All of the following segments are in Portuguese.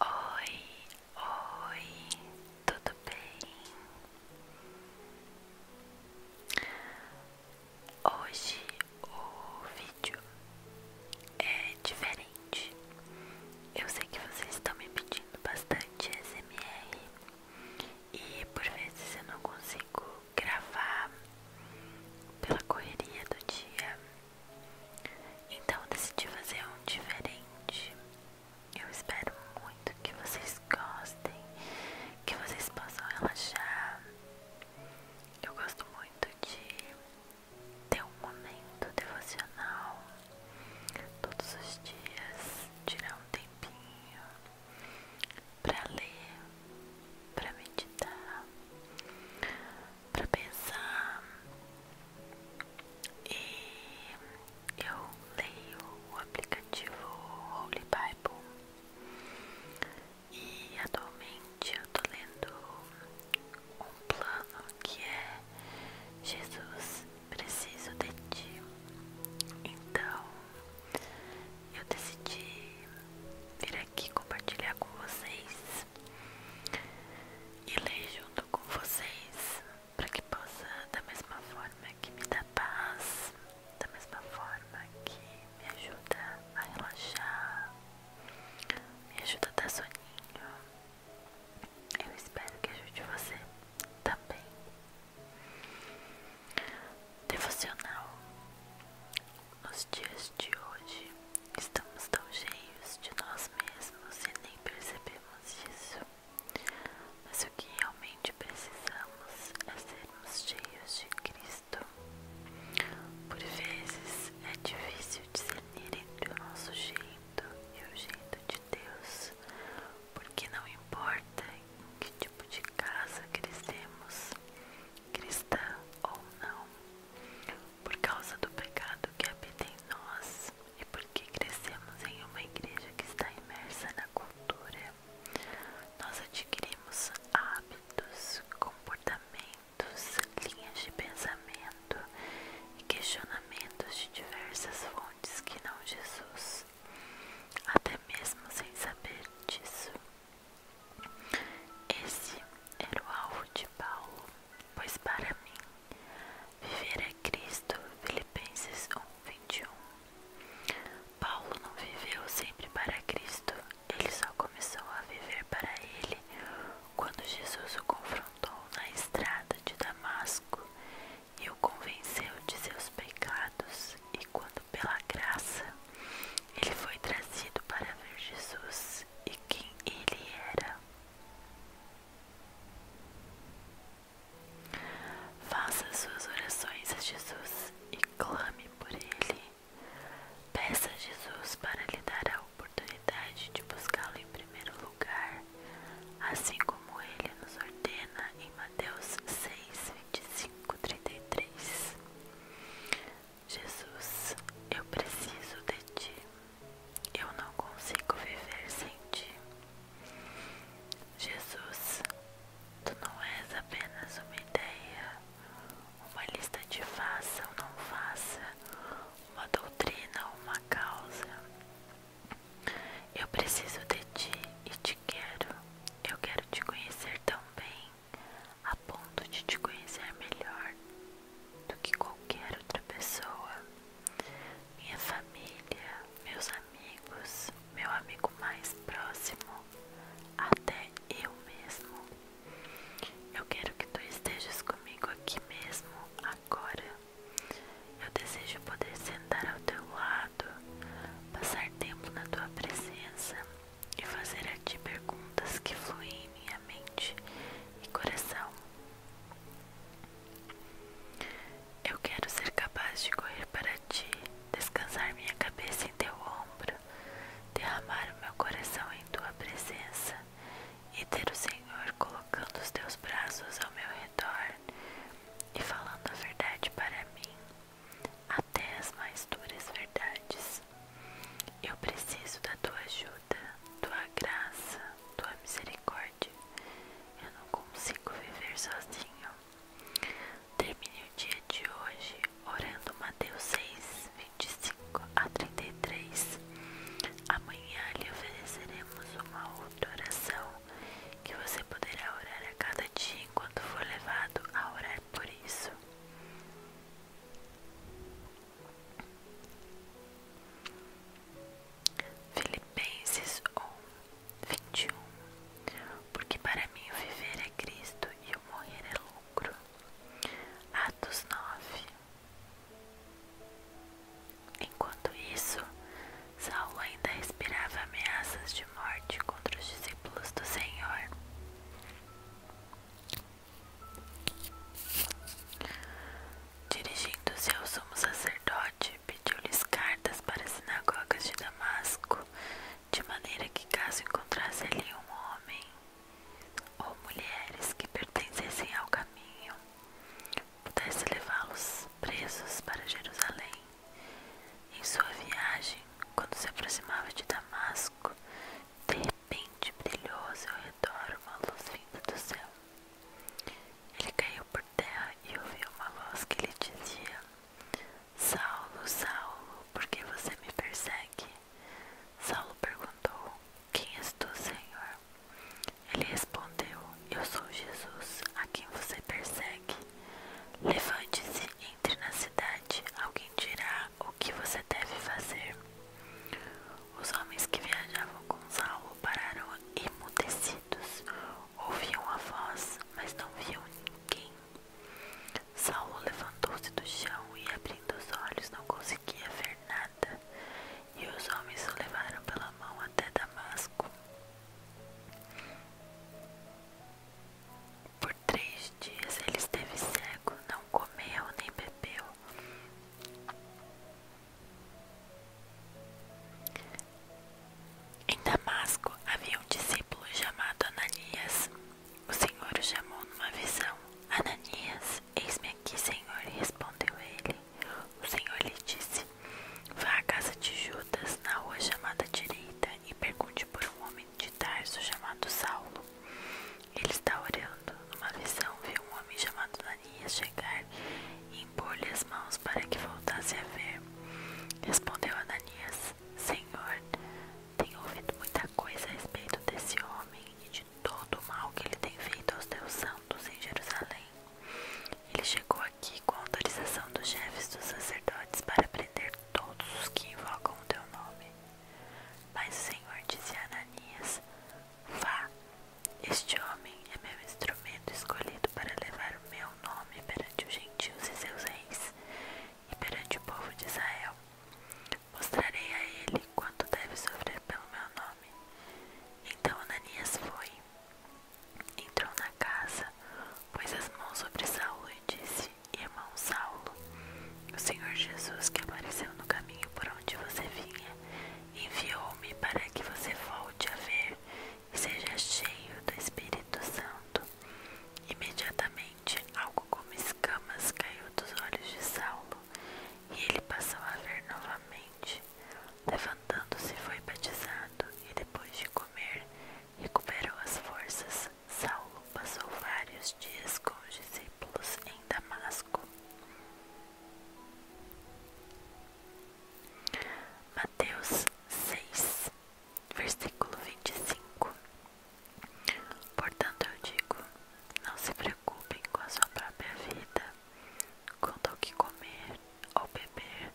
Oi, oi, tudo bem? Hoje o vídeo é diferente. Eu sei que vocês estão me pedindo bastante SMR e por vezes eu não consigo gravar pela correria do dia. Então eu decidi fazer um diferente. Eu espero muito que vocês gostem, que vocês possam relaxar. Eu gosto muito de ter um momento devocional todos os dias, tirar um tempinho para ler, para meditar, pra pensar e eu leio o aplicativo Holy Bible e atualmente eu tô lendo um plano que é Jesus preciso de ti então eu decidi vir aqui compartilhar com vocês e leio junto com vocês, para que possa, da mesma forma que me dá paz, da mesma forma que me ajuda a relaxar, me ajuda a dar soninho. Eu espero que ajude você também. Devocional. Nos dias de hoje, Estamos tão cheios de nós mesmos e nem percebemos isso. Mas o que realmente precisamos é sermos cheios de Cristo. Por vezes é difícil discernir entre o nosso jeito e o jeito de Deus, porque não importa em que tipo de casa crescemos, cristã ou não, por causa do pecado que habita em nós e porque crescemos em uma igreja que está imersa na cultura, nós adquirimos hábitos, comportamentos, linhas de pensamento e questionamentos de diversas fontes que não Jesus, até mesmo sem saber disso. Esse era o alvo de Paulo pois para mim viver é Cristo, Filipenses 1, 21. Paulo não viveu sempre para Cristo, ele só começou a viver para ele quando Jesus o confrontou na estrada de Damasco e o convenceu de seus pecados, e quando, pela graça, ele foi trazido para ver Jesus e quem ele era. Faça suas orações a Jesus e clame por ele. Peça a Jesus para lhe dar a oportunidade de buscá-lo em primeiro lugar, assim como ele nos ordena em Mateus 6, 25, 33. Jesus, eu preciso de ti. Eu não consigo viver sem ti. Jesus, tu não és apenas uma ideia, uma lista de faça ou não faça, uma doutrina ou uma causa. Eu preciso de ti e te quero. Eu quero te conhecer tão bem a ponto de te conhecer melhor do que qualquer outra pessoa. Minha família, meus amigos, meu amigo mais próximo, até eu mesmo. Eu quero que tu estejas comigo aqui mesmo, agora. Eu desejo poder sentar ao teu lado, passar tempo na tua presença e fazer a ti perguntas que fluem em minha mente e coração. Eu quero ser capaz de correr para ti, descansar minha cabeça em teu ombro, derramar o meu coração em tua presença e ter o Senhor colocando os teus braços ao meu redor e falando a verdade para mim, até as mais duras verdades. Eu preciso da tua ajuda, tua graça, tua misericórdia. Eu não consigo viver sozinho. Termine o dia de hoje orando Mateus 6, 25 a 33. Amanhã lhe ofereceremos uma outra oração que você poderá orar a cada dia enquanto for levado a orar por isso. Filipenses 1, 21 Porque para mim o viver é Cristo e o morrer é lucro. Atos 9 Enquanto isso, Saulo ainda respirava ameaças de morte contra os discípulos do Senhor. Dirigindo-se ao sumo sacerdote, pediu-lhes cartas para as sinagogas de Damasco, de maneira que, caso encontrasse ali um homem ou mulheres que pertencessem ao caminho, pudesse levá-los presos para Jerusalém. Em sua viagem, quando se aproximava de Damasco, de repente brilhou ao redor uma luz vinda do céu. Ele caiu por terra e ouviu uma voz que lhe dizia: Saulo, Saulo, por que você me persegue? Saulo perguntou: Quem és tu, Senhor? Ele respondeu: Eu sou Jesus, a quem você persegue. Levante-se, entre na cidade, alguém dirá o que você deve fazer. Os homens que viajavam com Saulo pararam emudecidos. Ouviam a voz, mas não viam ninguém. Saulo levantou-se do chão e, abrindo os olhos, não conseguia ver nada. E os homens o levaram pela mão até Damasco três dias ele esteve cego, não comeu nem bebeu. Em Damasco havia um discípulo chamado Ananias. O Senhor o chamou numa visão. Ananias, eis-me aqui, Senhor, respondeu ele. O Senhor lhe disse: Vá à casa de Judas, na rua chamada direita, e pergunte por um homem de Tarso chamado Saulo. Ele está orando. uma visão, viu um homem chamado Ananias chegar e impor-lhe as mãos para que voltasse a ver. Respondeu Ananias: Senhor, tenho ouvido muita coisa a respeito desse homem e de todo o mal que ele tem feito aos teus santos em Jerusalém. Ele chegou aqui com autorização dos chefes dos sacerdotes para prender todos os que invocam o teu nome. Mas o Senhor disse a Ananias: Vá, este homem é meu instrumento escolhido para levar o meu nome perante os gentios e seus reis, e perante o povo de Israel. Mostrarei a ele quanto deve sofrer pelo meu nome. Então Ananias foi, entrou na casa, pôs as mãos sobre Saul e disse: Irmão Saulo, o Senhor Jesus que apareceu no caminho por onde você vinha, enviou-me para que você volte a ver e seja cheio do Espírito Santo. Imediatamente, algo como escamas caiu dos olhos de Saulo e ele passou a ver novamente. Levantando-se, foi batizado e, depois de comer, recuperou as forças. Saulo passou vários dias com os discípulos em Damasco. Mateus 6, versículo 25. Portanto, eu digo: não se preocupem com a sua própria vida, quanto ao que comer ou beber,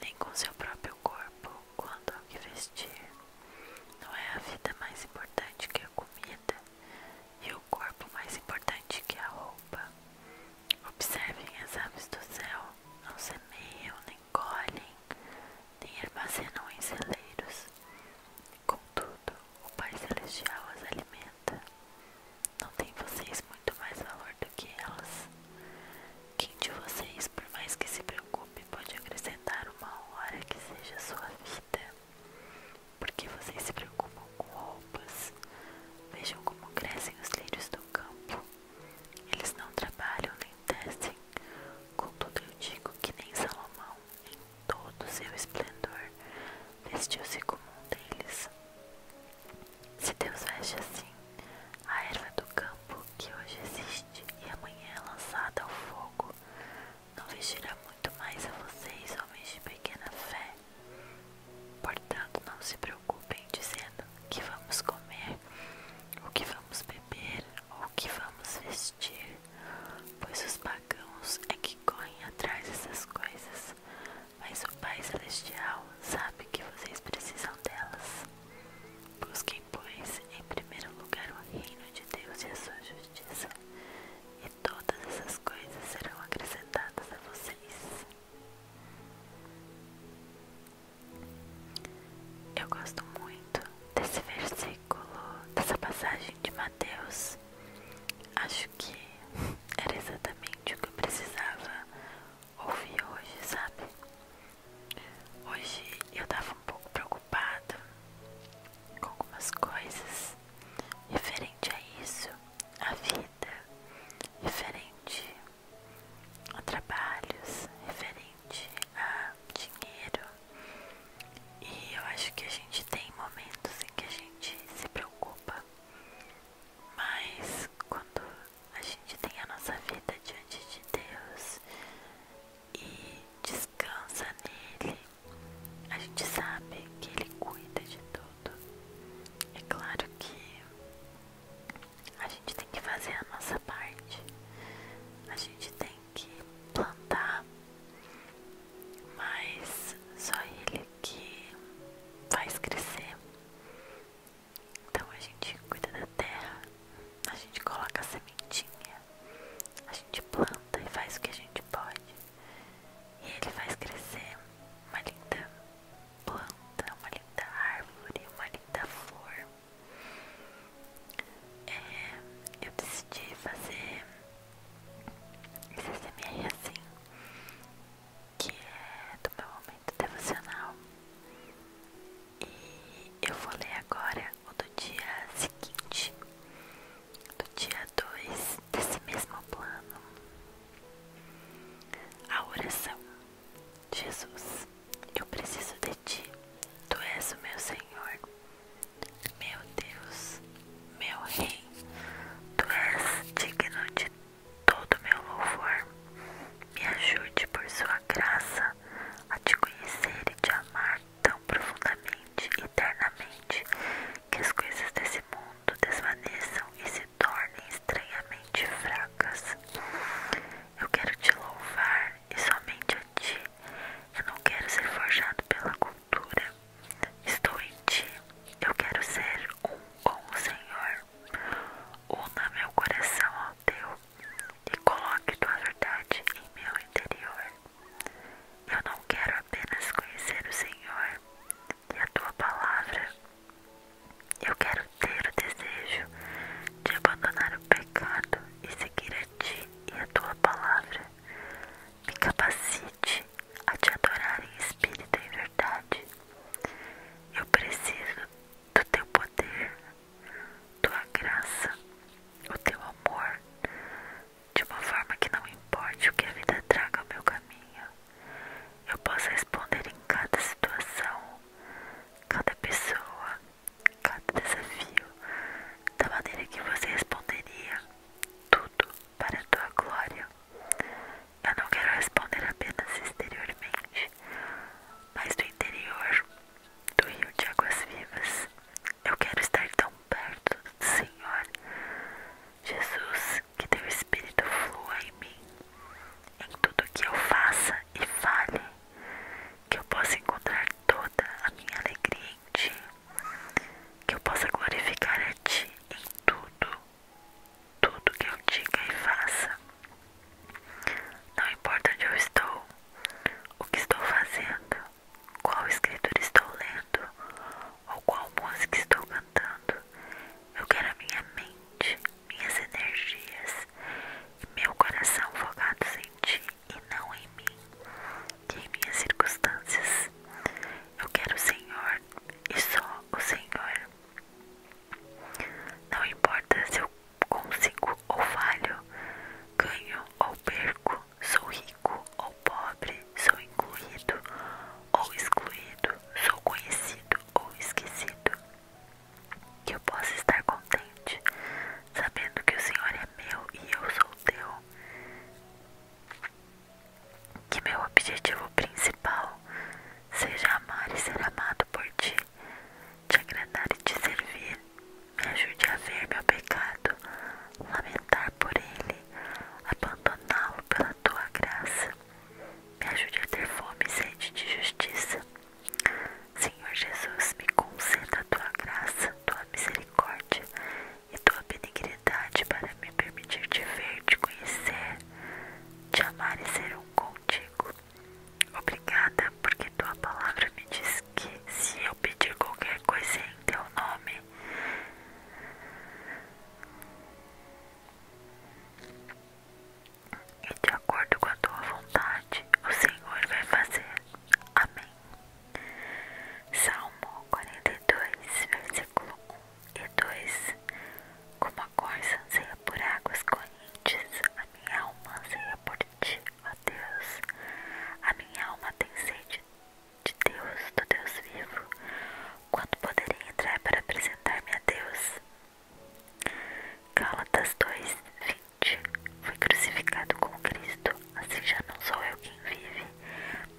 nem com seu próprio corpo, quanto ao que vestir. Não é a vida mais importante que a comida e o corpo mais importante que a roupa. Observem as aves do céu, não semeiam, nem colhem, nem armazenam em celeiros. Contudo, o Pai Celestial as alimenta. Não tem vocês muito mais valor do que elas. Quem de vocês, por mais que se preocupe, pode acrescentar uma hora que seja sua vida? Porque vocês se preocupam com roupas? Vejam como crescem os lírios do campo. Eles não trabalham nem tecem. Contudo, eu digo que nem Salomão, em todo seu esplendor, vestiu-se como um deles. Se Deus veste assim, a erva do campo que hoje existe e amanhã é lançada ao fogo, não vestirá muito mais a vocês, homens de pequena fé. Portanto, não se preocupem dizendo o que vamos comer, o que vamos beber ou o que vamos vestir, pois os pagãos é que correm atrás dessas coisas, mas o Pai Celestial sabe que vocês precisam delas. Busquem pois, em primeiro lugar o reino de Deus e a sua justiça, e todas essas coisas serão acrescentadas a vocês. Eu gosto muito desse versículo, dessa passagem de Mateus. Acho que era exatamente o que eu precisava ouvir hoje, sabe? Hoje eu tava um pouco preocupada com algumas coisas referente a isso, a vida, referente a trabalhos, referente a dinheiro. E eu acho que a gente tem momentos em que a gente se preocupa, mas quando a gente tem a nossa vida diante de Deus e descansa nele. A gente sabe que ele cuida de tudo. É claro que a gente tem que fazer a nossa parte, a gente tem que plantar, mas só ele que faz crescer. Então a gente cuida da terra, a gente coloca a sementinha, a gente planta e faz o que a gente pode. E ele faz crescer uma linda planta, uma linda árvore, uma linda flor. É, eu decidi fazer esse SMR assim, que é do meu momento devocional. E eu vou ler agora ou do dia seguinte, do dia 2 desse mesmo plano, a oração: Jesus, eu preciso de ti, tu és o meu Senhor, meu Deus, meu Rei, tu és digno de todo meu louvor. Me ajude por sua graça a te conhecer e te amar tão profundamente, eternamente, que as coisas desse mundo desvaneçam e se tornem estranhamente fracas. Eu quero te louvar e somente a ti. Eu não quero ser forjado pela cultura. Estou em ti. Eu quero ser um com o Senhor. Una meu coração ao teu e coloque tua verdade em meu interior. Eu não quero apenas conhecer o Senhor e a tua palavra. Eu quero ter o desejo de abandonar o pecado e seguir a ti e a tua palavra. Me capacite a te adorar em espírito e verdade. Eu preciso do teu poder tua graça, o teu amor, de uma forma que não importe o que a vida traga ao meu caminho, eu possa responder em cada situação, cada pessoa, cada desafio, da maneira que você responderia, tudo para a tua glória. Eu não quero responder apenas exteriormente, mas do interior do rio de águas vivas. Eu quero estar tão perto do Senhor. Jesus, que teu Espírito flua em mim, em tudo que eu faça e fale, que eu possa encontrar toda a minha alegria em ti, que eu possa glorificar a ti em tudo, tudo que eu diga e faça. Não importa onde eu estou, o que estou fazendo, qual escritor estou lendo ou qual música estou cantando. Eu quero a minha mente, minhas energias e meu coração focados em ti e não em mim e em minhas circunstâncias. Eu quero o Senhor e só o Senhor. Não importa se eu consigo ou falho, ganho ou perco, sou rico ou pobre, sou incluído ou excluído, sou conhecido ou esquecido. Que eu possa estar contente, sabendo que o Senhor é meu e eu sou teu. Que meu objetivo principal seja amar e ser amado por ti, te agradar e te servir. Me ajude a ver meu pecado, lamentar por ele, abandoná-lo pela tua graça. Me ajude a ter fome e sede de justiça. Senhor Jesus, me conceda a tua graça, tua misericórdia e tua benignidade para me permitir te ver, te conhecer, te amar e ser um contigo. Obrigada, porque tua palavra me diz que se eu pedir qualquer coisa em teu nome, e de acordo com a tua vontade, o Senhor vai fazer. Amém. Salmo 42, versículo 1 e 2. Como a corça anseia por águas correntes, a minha alma anseia por ti ó oh Deus, a minha alma tem sede de Deus, do Deus vivo, quando poderei entrar para apresentar-me a Deus? Gálatas 2, 20 Fui crucificado com Cristo, assim já não sou eu quem vive,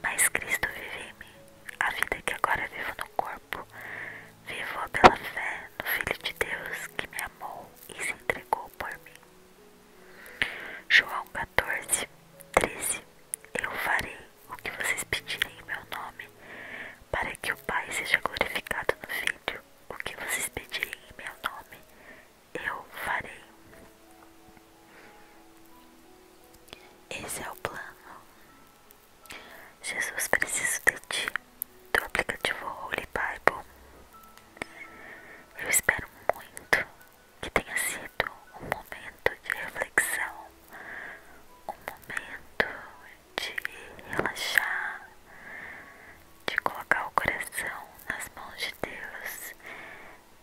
mas Cristo vive em mim. A vida que agora vivo no corpo, vivo pela fé no Filho de Deus que me amou e se entregou por mim. João 14, 13 Eu farei o que vocês pedirem em meu nome, para que o Pai seja glorificado no Filho. O que vocês pedirem em meu nome, eu farei. Esse é o plano. Jesus, preciso de ti do aplicativo Holy Bible. Eu espero muito que tenha sido um momento de reflexão, um momento de relaxar, de colocar o coração nas mãos de Deus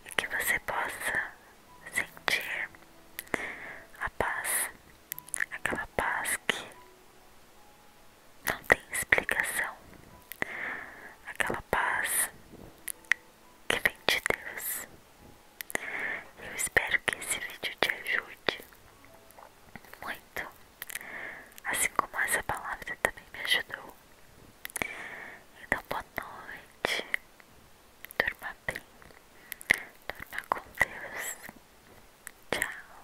e que você possa sentir a paz, aquela paz que não tem explicação. Aquela paz que vem de Deus. Eu espero que esse vídeo te ajude muito, assim como essa palavra também me ajudou. Então, boa noite, durma bem, durma com Deus. Tchau.